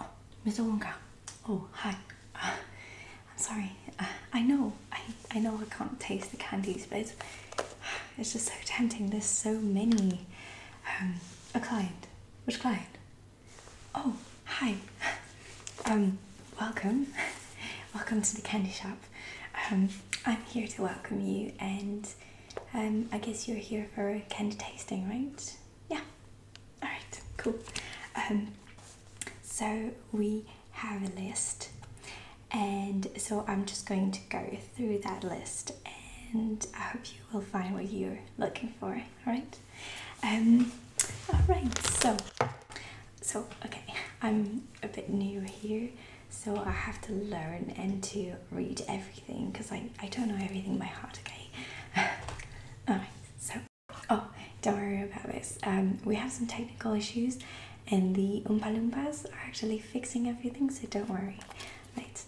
Oh, Mr. Oh, hi. Uh, I'm sorry. Uh, I know. I I know I can't taste the candies, but it's, it's just so tempting. There's so many. Um, a client. Which client? Oh, hi. Um, welcome. welcome to the candy shop. Um, I'm here to welcome you and um, I guess you're here for candy tasting, right? Yeah. All right. Cool. Um, so we have a list, and so I'm just going to go through that list, and I hope you will find what you're looking for. All right. Um, all right. So, so okay. I'm a bit new here, so I have to learn and to read everything because I, I don't know everything by heart, okay? Alright, so, oh, don't worry about this. Um, we have some technical issues, and the umpalumpas are actually fixing everything, so don't worry. Right.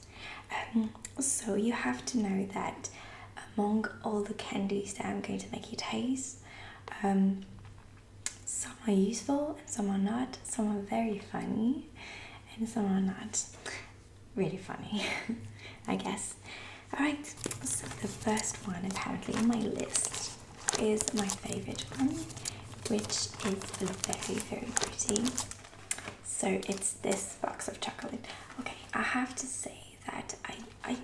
Um, so, you have to know that among all the candies that I'm going to make you taste, um, some are useful and some are not. Some are very funny and some are not really funny, I guess. Alright, so the first one apparently on my list is my favorite one, which is very, very pretty. So it's this box of chocolate. Okay, I have to say that I, I,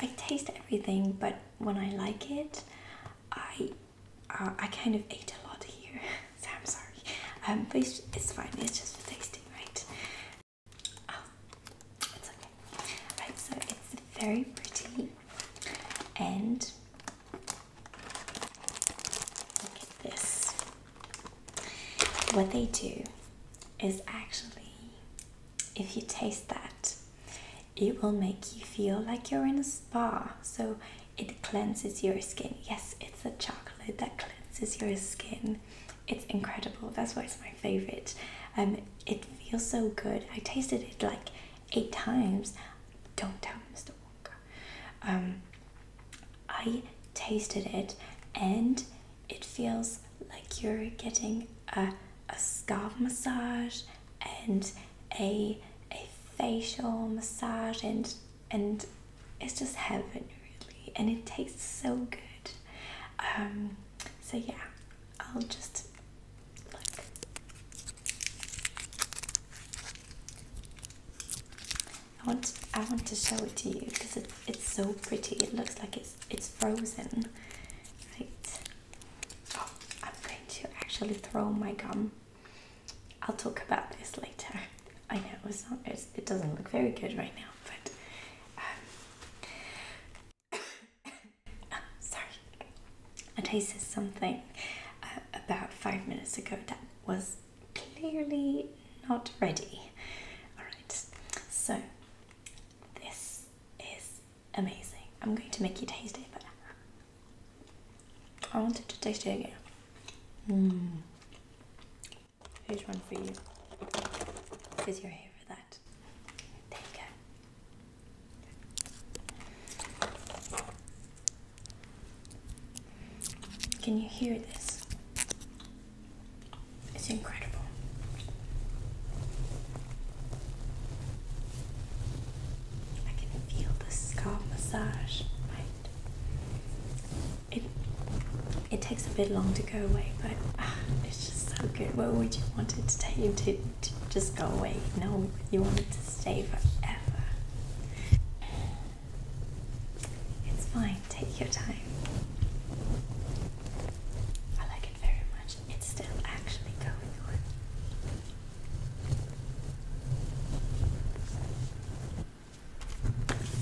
I taste everything, but when I like it, I uh, I kind of ate a lot here, so I'm sorry. Um, but it's, fine. It's just for tasting, right? Oh, it's okay. Right, so it's very pretty, and this. What they do is actually, if you taste that, it will make you feel like you're in a spa, so it cleanses your skin. Yes, it's a chocolate that cleanses your skin. It's incredible. That's why it's my favorite. Um, it feels so good. I tasted it like eight times. Don't tell Mr. Walker. Um, I tasted it, and it feels like you're getting a a scalp massage and a a facial massage and and it's just heaven really and it tastes so good um, so yeah I'll just look I want I want to show it to you because it, it's so pretty it looks like it's it's frozen right oh I'm going to actually throw my gum I'll talk about this later. I know it's not, it doesn't look very good right now, but um, oh, sorry. I tasted something uh, about five minutes ago that was clearly not ready. All right, so this is amazing. I'm going to make you taste it, but I wanted to taste it again. Mm. Here's one for you. Because you're that. Can you hear this? It's incredible. I can feel the scalp massage. Right. It it takes a bit long to go away, but ah, it's just so good. What would you want it to take you to, to just go away? No, you want it to stay forever. It's fine. Take your time. I like it very much. It's still actually going on.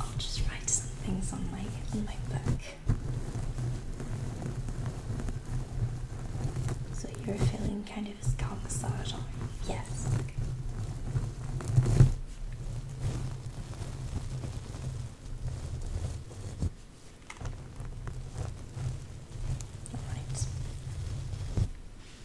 I'll just write some things on my on So you're feeling kind of a scalp massage, on yes. All right.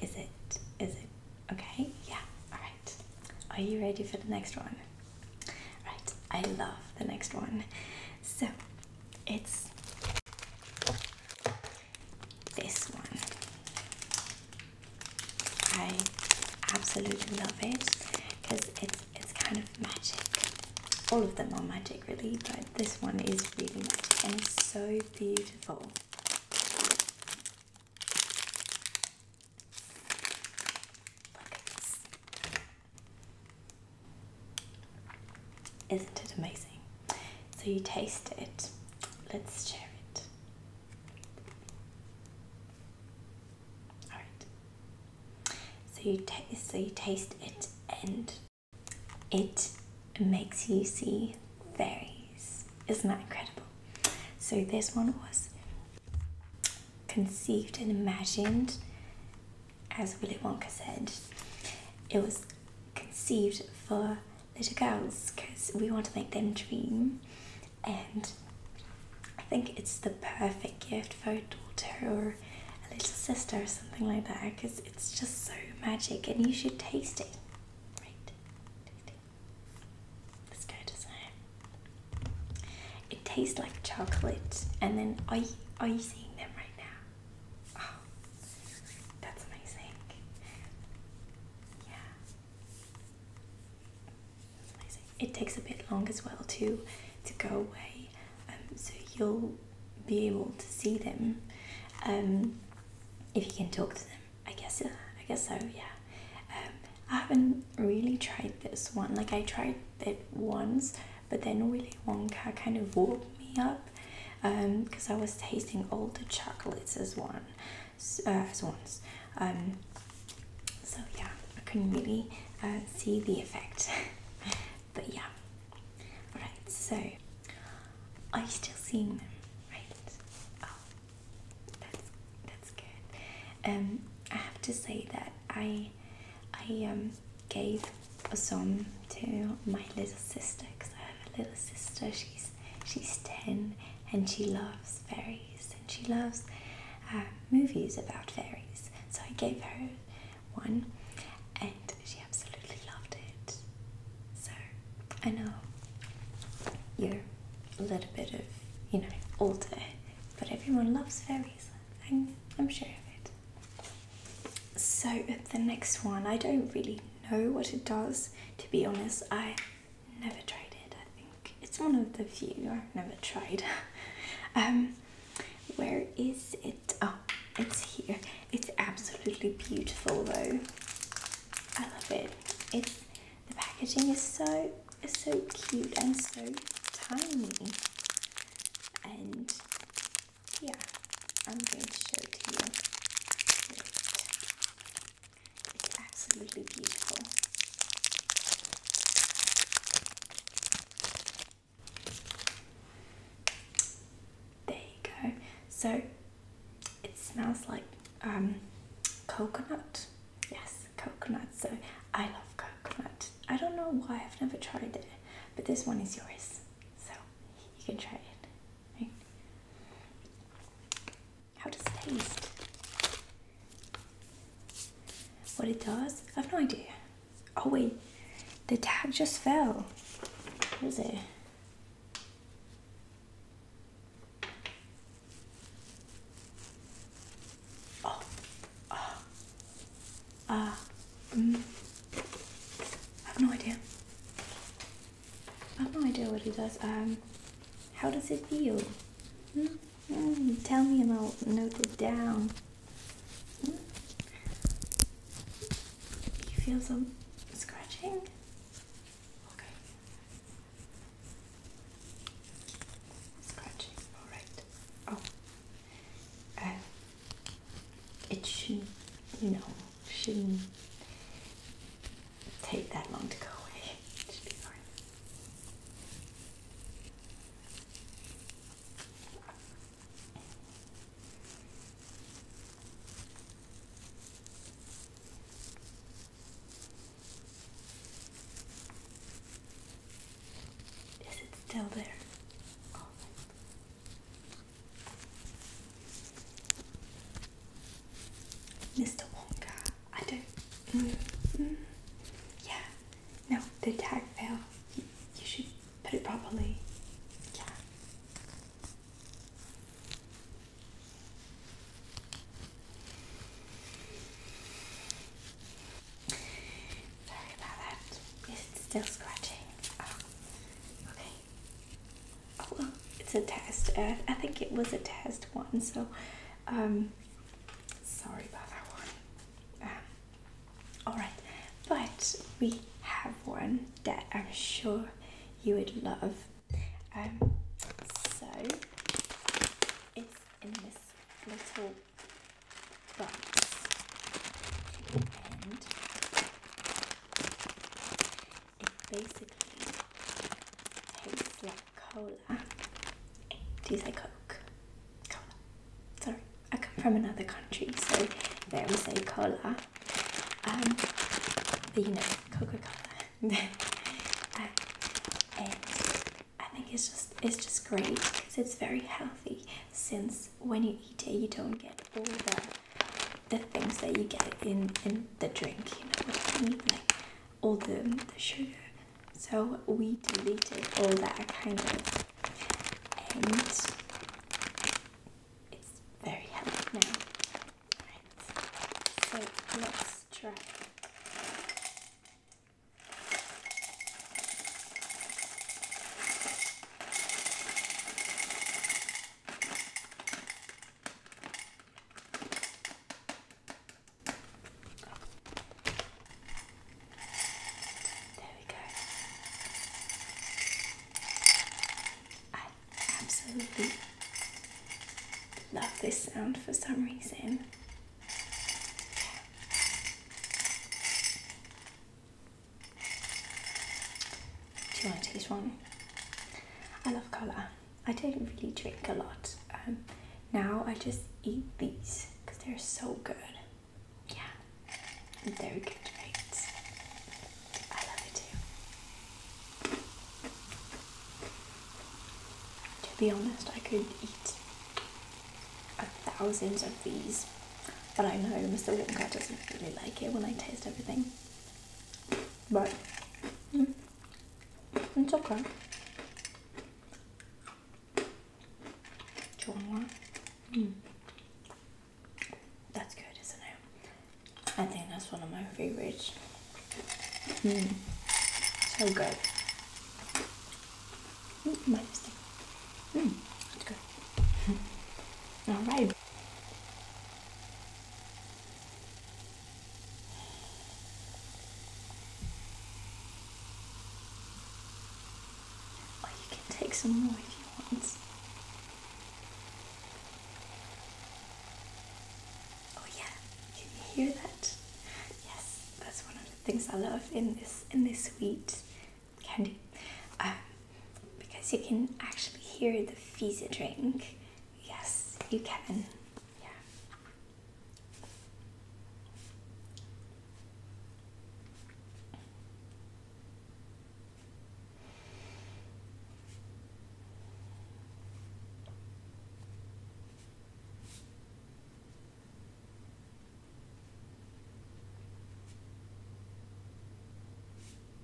Is it? Is it okay? Yeah, alright. Are you ready for the next one? Right, I love the next one. So it's this one. I absolutely love it because it's it's kind of magic. All of them are magic really, but this one is really magic and it's so beautiful. Isn't it amazing? So you taste it. Let's share it. All right. So you taste. So you taste it, and it makes you see fairies. Isn't that incredible? So this one was conceived and imagined, as Willy Wonka said. It was conceived for little girls because we want to make them dream and I think it's the perfect gift for a daughter or a little sister or something like that because it's just so magic and you should taste it. Right? Let's go to Sam. It tastes like chocolate and then are you, are you seeing them right now? Ah that's amazing. Yeah, It takes a bit long as well to to go away, um, so you'll be able to see them um, if you can talk to them. I guess. Uh, I guess so. Yeah. Um, I haven't really tried this one. Like I tried it once, but then Willy Wonka kind of woke me up because um, I was tasting all the chocolates as one, uh, as ones. Um, so yeah, I couldn't really uh, see the effect, but yeah. All right, so are you still seeing them? Right? Oh, that's that's good. Um, I have to say that I I um gave some to my little sister because I have a little sister. She's she's ten, and she loves fairies, and she loves uh, movies about fairies. So I gave her one, and she absolutely loved it. So I know you're a little bit of you know older, but everyone loves fairies. I'm I'm sure of it. So, the next one, I don't really know what it does. To be honest, I never tried it. I think it's one of the few I've never tried. um, where is it? Oh, it's here. It's absolutely beautiful, though. I love it. It's the packaging is so is so cute and so tiny, and yeah, I'm going to show it to you. It's absolutely beautiful. There you go. So it smells like um, coconut. Yes, coconut. So I love coconut. I don't know why I've never tried it, but this one is yours. So you can try it. Right? How does it taste? What it does? I have no idea. Oh wait, the tag just fell. What is it? Oh, ah, oh. I have no idea. I have no idea what he does. Um, how does it feel? Hmm? Hmm, tell me and I'll note it down. Hmm? You feel some scratching? Okay. Scratching, alright. Oh. Uh, it No shouldn't take that long to go away. Is it still there? Oh, Mr. Wonka. I don't. Mm, mm. yeah. No, the tag fell. You, should put it properly. Yeah. Sorry about that. It's still scratching. Oh, okay oh it's a test I, think it was a test one so um sorry about that one um, all right but we have one that I'm sure you would love um, so it's in this little box it basically tastes like cola. Do you say Coke? Sorry, I come from another country, so there we say cola. Um, but you know, Coca Cola. and I think it's just it's just great because it's very healthy. Since when you eat it, you don't get all the the things that you get in in the drink, you know what I mean? Like all the, the sugar. So we deleted all that kind of and it's very healthy now. Right. So let's try. There we go. I absolutely love this sound for some reason. Do you want to taste one? I love cola. I don't really drink a lot. Um, now I just eat these because they're so good. Yeah, they're good, right? I love it too. To be honest, I could eat thousands of these, but I know Mr. Wonka doesn't really like it when I taste everything but mm. it's okay. Two hmm. That's good, isn't it? I think that's one of my favorites. Hmm. So good. Mm, All right you. Oh, you can take some more if you want. Oh yeah, can you hear that? Yes, that's one of the things I love in this in this sweet candy. Um, because you can actually hear the fizzy drink. Yes, you can. Yeah.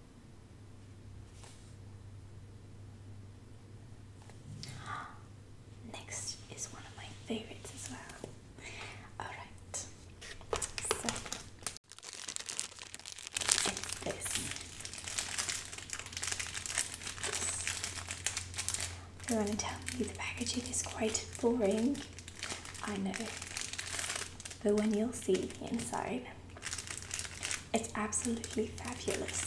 Next is one of my favorites as well. Alright, so it's this. You want to tell you the packaging is quite boring? I know, but when you'll see the inside, it's absolutely fabulous.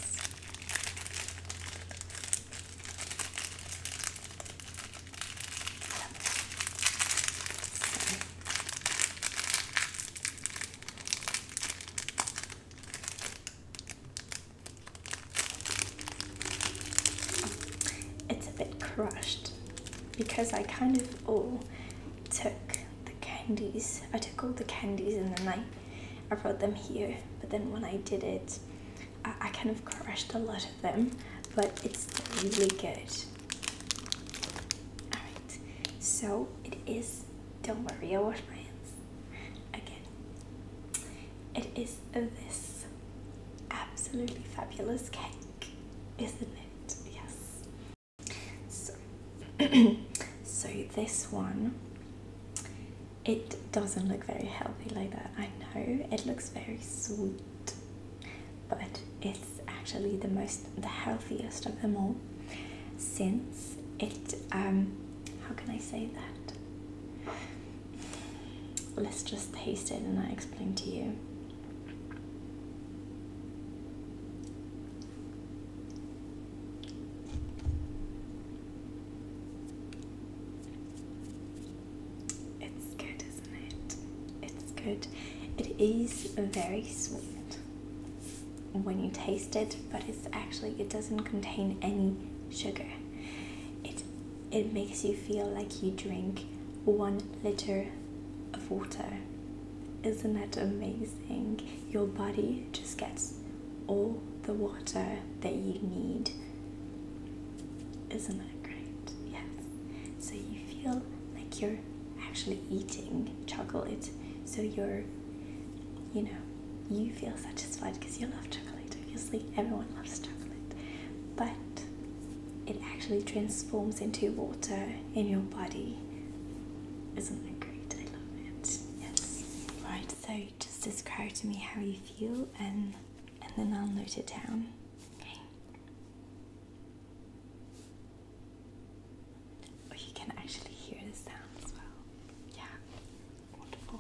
It's a bit crushed because I kind of all took candies. I took all the candies and then I, I brought them here. But then when I did it, I, I kind of crushed a lot of them. But it's really good. Alright, so it is, don't worry, I wash my hands again. It is this absolutely fabulous cake, isn't it? Yes. So, this one, it doesn't look very healthy like that. I know it looks very sweet, but it's actually the most, the healthiest of them all since it, um, how can I say that? let's just taste it and I explain to you. It's good, isn't it? It's good. It is very sweet when you taste it, but it's actually it doesn't contain any sugar. It it makes you feel like you drink one liter of water isn't that amazing? Your body just gets all the water that you need. Isn't that great? Yes. So you feel like you're actually eating chocolate. So you're, you know, you feel satisfied because you love chocolate. Obviously, everyone loves chocolate. But it actually transforms into water in your body. Isn't that great? I love it. Yes. Right, so just describe to me how you feel and and then I'll note it down. Okay. Or oh, you can actually hear the sound as well. Yeah. Wonderful.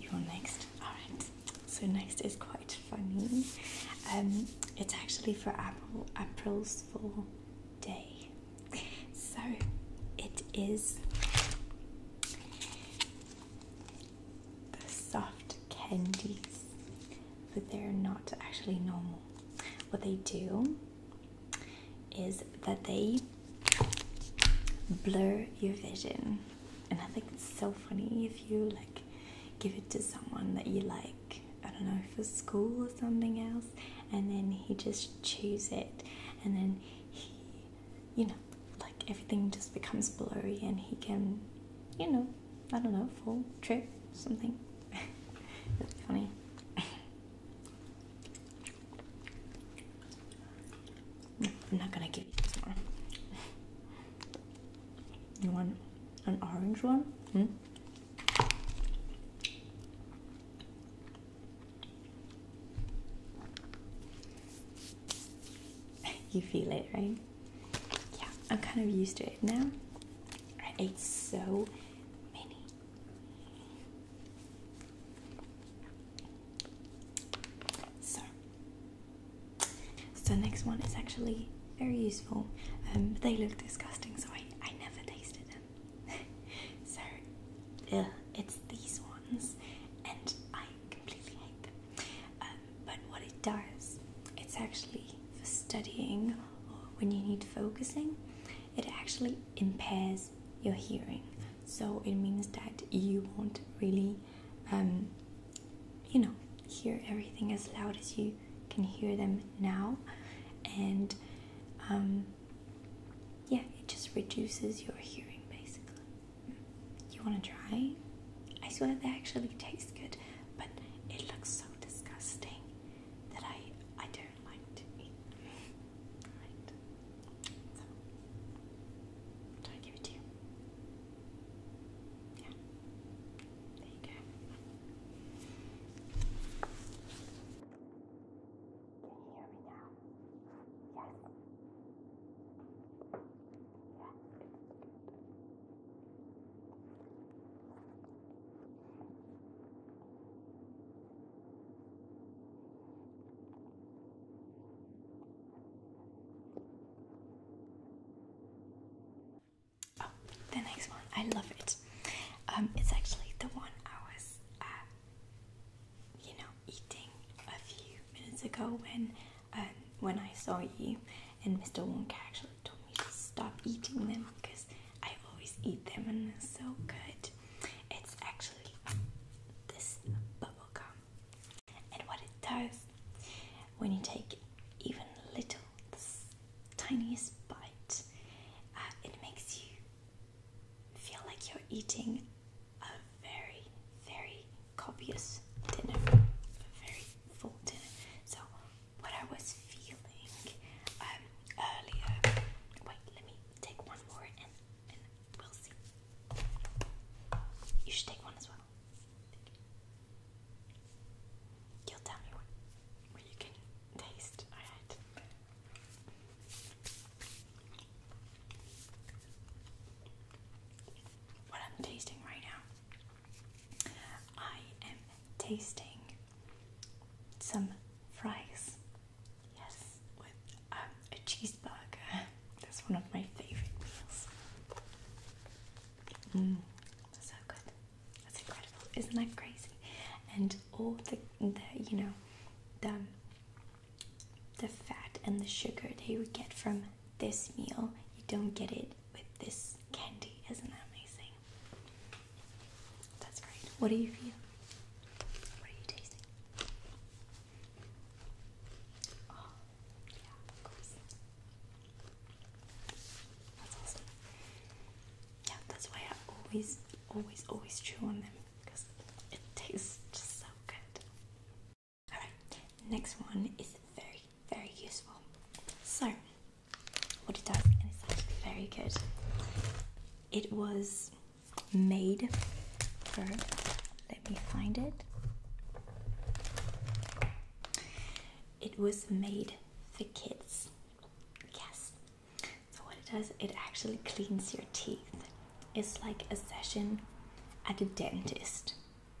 You're next. Alright, so next is quite funny. Um, it's actually for April's Fool Day. So it is the soft candies, but they're not actually normal. What they do is that they blur your vision. And I think it's so funny if you like give it to someone that you like, I don't know, for school or something else, and then he just chews it, and then he, you know, like everything just becomes blurry and he can, you know, I don't know, fall, trip, something. It's funny. I'm not gonna give you this one. You want an orange one? Hmm? you feel it, right? Yeah, I'm kind of used to it now. I ate so many so, so next one is actually very useful. Um, they look disgusting, so I, I never tasted them. so, yeah, it's these ones, and I completely hate them. Um, but what it does, it's actually for studying or when you need focusing it actually impairs your hearing. So it means that you won't really, um, you know, hear everything as loud as you can hear them now. And um, yeah, it just reduces your hearing basically. You want to try? I swear they actually taste good, but it looks so disgusting that I, I don't deer like to eat. Right. So, do I give it to you? Yeah. There you go. Can you hear me now? Yes. Yeah. Good. Oh, the next one. I love it. Um, it's actually the one I was, uh, you know, eating a few minutes ago when, um, when I saw you, and Mr. Wonka actually told me to stop eating them because I always eat them and they're so good. It's actually this bubble gum. And what it does when you take even little, tiniest bite, uh, it makes you feel like you're eating a very, very copious dinner, a very full dinner. So what I was feeling um, earlier. Wait, let me take one more and, and we'll see. You should take one as well. You'll tell me what, what you can taste. What I'm tasting right now, I am tasting some fries. Yes, with um, a cheeseburger. That's one of my favorite meals. Mm, so good. That's incredible. Isn't that crazy? And all the, the you know, the um, the fat and the sugar that you would get from this meal, you don't get it with this candy. Isn't that amazing? That's great. What do you feel? What are you tasting? Oh, yeah, That's why I always, always, always chew on them because it tastes so good. Alright, next one is very, very useful. So, what it does, and it's actually very good. It was made for, let me find it. It was made for kids. Yes. So, what it does, it actually cleans your teeth. It's like a session at a dentist.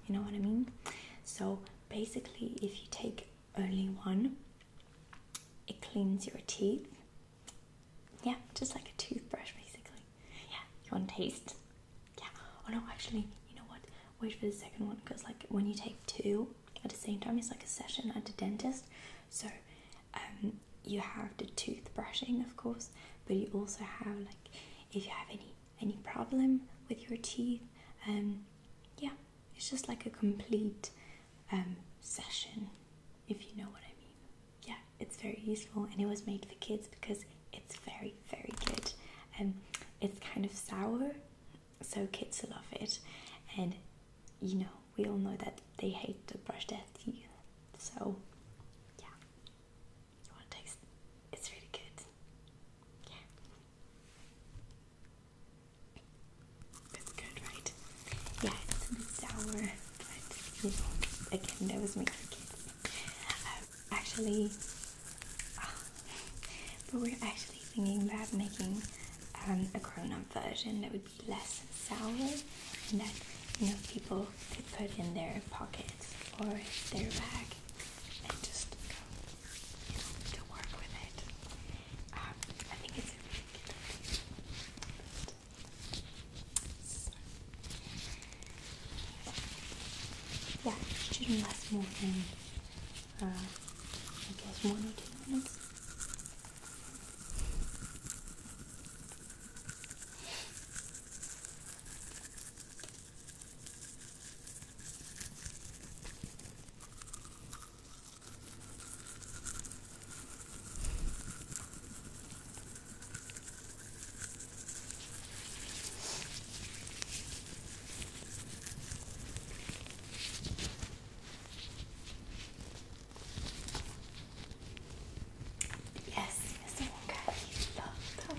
You know what I mean? So, basically, if you take only one. It cleans your teeth. Yeah, just like a toothbrush basically. Yeah, you want to taste? Yeah. Oh no, actually, you know what? Wait for the second one because like when you take two at the same time, it's like a session at the dentist. So um, you have the toothbrushing, of course, but you also have like if you have any any problem with your teeth, um, yeah, it's just like a complete um, session, if you know what I mean. Yeah, it's very useful and it was made for kids because it's very, very good. and um, it's kind of sour, so kids love it. And you know, we all know that they hate to brush their teeth. So, yeah, you want to taste? It's really good. Yeah. Good, good, right? Yeah, it's a bit sour, but you know, again, that was me for kids. actually, ah, but we're actually thinking about making um, a cronut version that would be less sour and that you know people could put in their pockets or their bag and just you know, to work with it. Um, I think it's so. Yeah, it shouldn't last more than, uh, I guess, one or two minutes. Yes, yes, the one guy you love that one.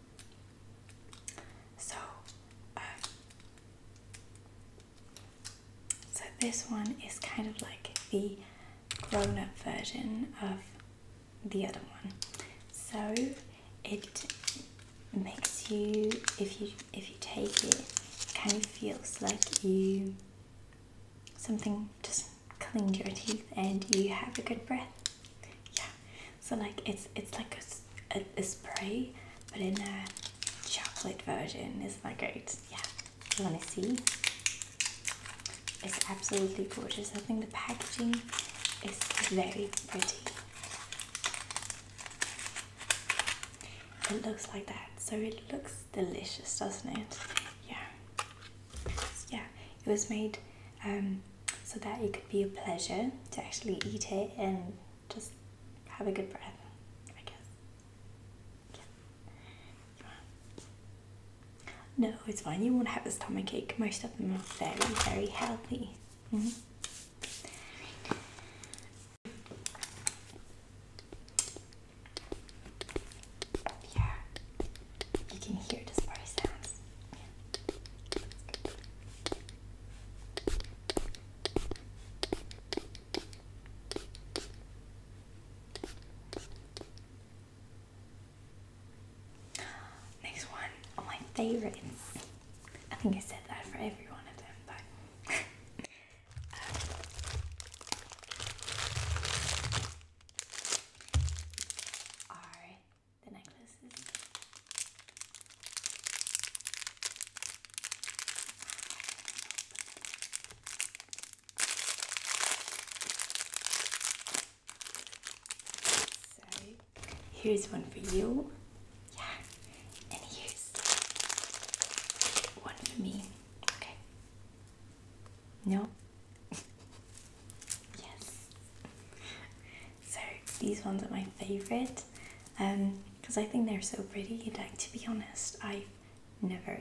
So, uh, so this one is kind of like the grown-up version of the other one. So it makes you, if you if you take it kind of feels like you something just cleaned your teeth and you have a good breath. Yeah. So like it's it's like a, a, spray, but in a chocolate version. Isn't that great? Yeah. You wanna see? It's absolutely gorgeous. I think the packaging is very pretty. It looks like that, so it looks delicious, doesn't it? Yeah. Yeah, it was made um, so that it could be a pleasure to actually eat it and just have a good breath, I guess. No, it's fine. You won't have a stomach ache. Most of them are very, very healthy. Mm-hmm. Yeah, you can hear the spray sounds. Next one, oh, my favorites. I think I said that for every one of them, but um, the necklaces. So here's one for you. Yeah. And here's one for me. Okay. No, yes. So these ones are my favourite because um, I think they're so pretty. Like to be honest, I've never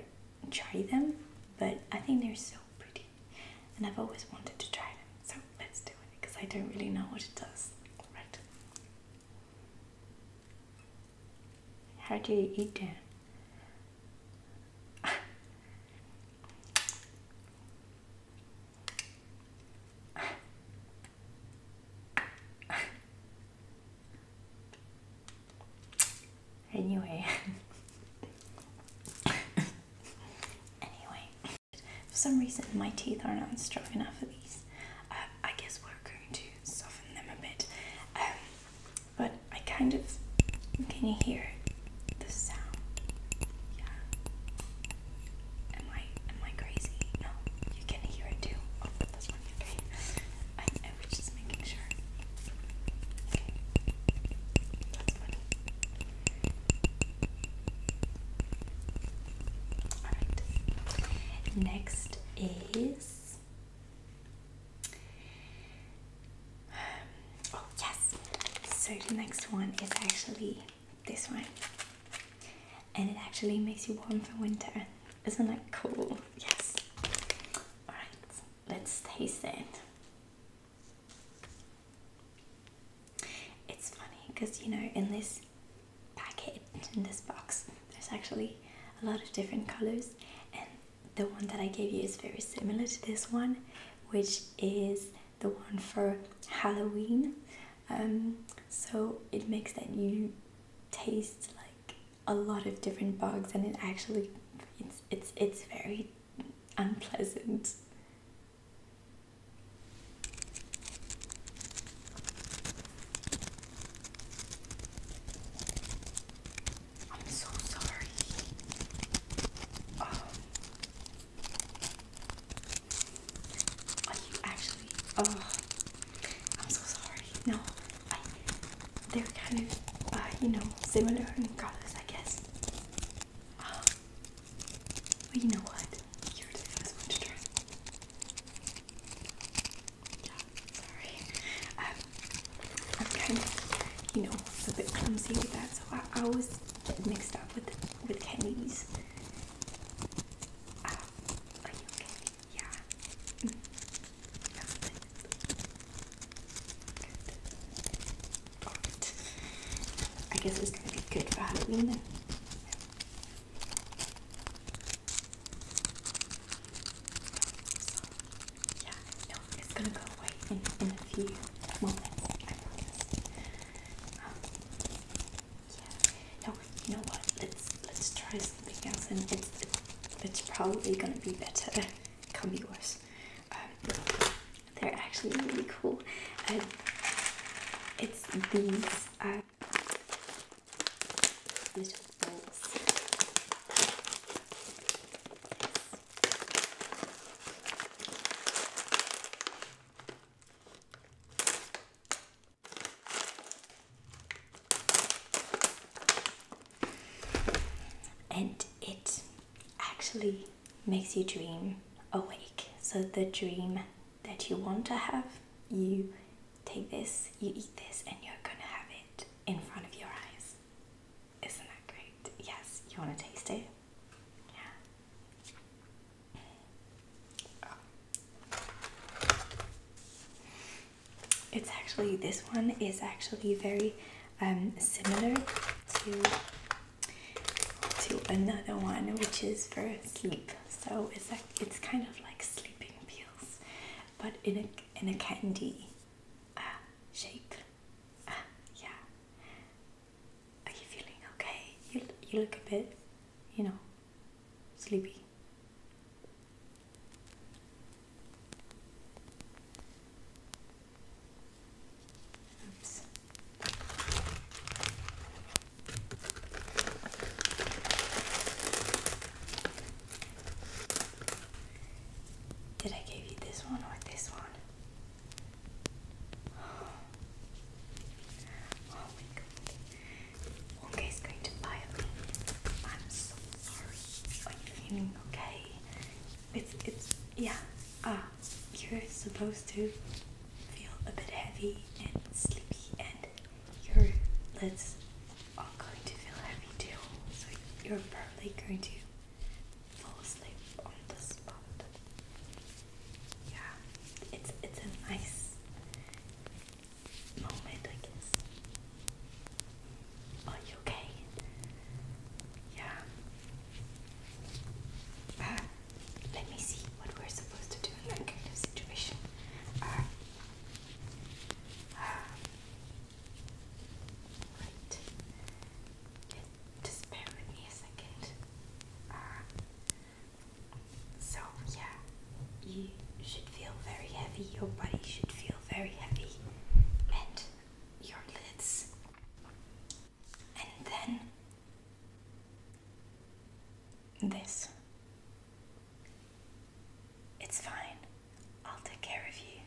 tried them, but I think they're so pretty, and I've always wanted to try them. So let's do it because I don't really know what it does. Right? How do you eat them? anyway anyway for some reason my teeth are not strong enough for these um, i guess we're going to soften them a bit um, but i kind of can you hear the sound. Yeah. Am I am I crazy? No, you can hear it too. Oh, that's one okay. I I just making sure. Okay. That's funny. Alright. Next is um, oh, yes. So the next one is actually this one. And it actually makes you warm for winter. Isn't that cool? Yes. Alright, let's taste it. It's funny because you know, in this packet, in this box, there's actually a lot of different colors, and the one that I gave you is very similar to this one, which is the one for Halloween. Um, so it makes that you taste like a lot of different bugs, and it actually it's it's it's very unpleasant. I'm so sorry. Oh. Are you actually? Oh, I'm so sorry. No, I, they're kind of, uh, you know, similar in colors, I guess. Oh. But you know what? You're the first one to try. Yeah, sorry. Um, I'm kind of, you know, a bit clumsy with that, so I, I was mixed up with with candies. Uh, ah, are you okay? Yeah. Mm. I guess it's gonna be good for Halloween Yeah, it's gonna go away in, in a few moments, I promise. Um, yeah. No, you know what? Let's let's try something else, and it's it's probably gonna be better. It can be worse. Um, they're actually really cool. Um, it's these little balls. And it actually makes you dream awake. So, the dream that you want to have, you take this, you eat this, and you're gonna have it in front of your eyes. Isn't that great? Yes, you want to taste it? Yeah. It's actually, this one is actually very um, similar to to another one which is for sleep so it's like it's kind of like sleeping pills but in a in a candy uh, shape uh, yeah are you feeling okay? You, you look a bit, you know, sleepy. Oops. Did I give you this one or this one? Oh my is going to fire me. am so sorry. Are you feeling okay? It's it's yeah. Uh you're supposed to feel a bit heavy and sleepy and your lids are going to feel heavy too. So you're probably going to fall asleep on the spot. Yeah, it's it's a nice moment, I guess. Are you okay? Yeah. Uh, let me see what we're supposed to do in that kind of situation. Uh, uh, right just bear with me a second. Uh, so, yeah, you should feel very heavy, your body should feel very heavy, and your lids. And then this. It's fine. I'll take care of you.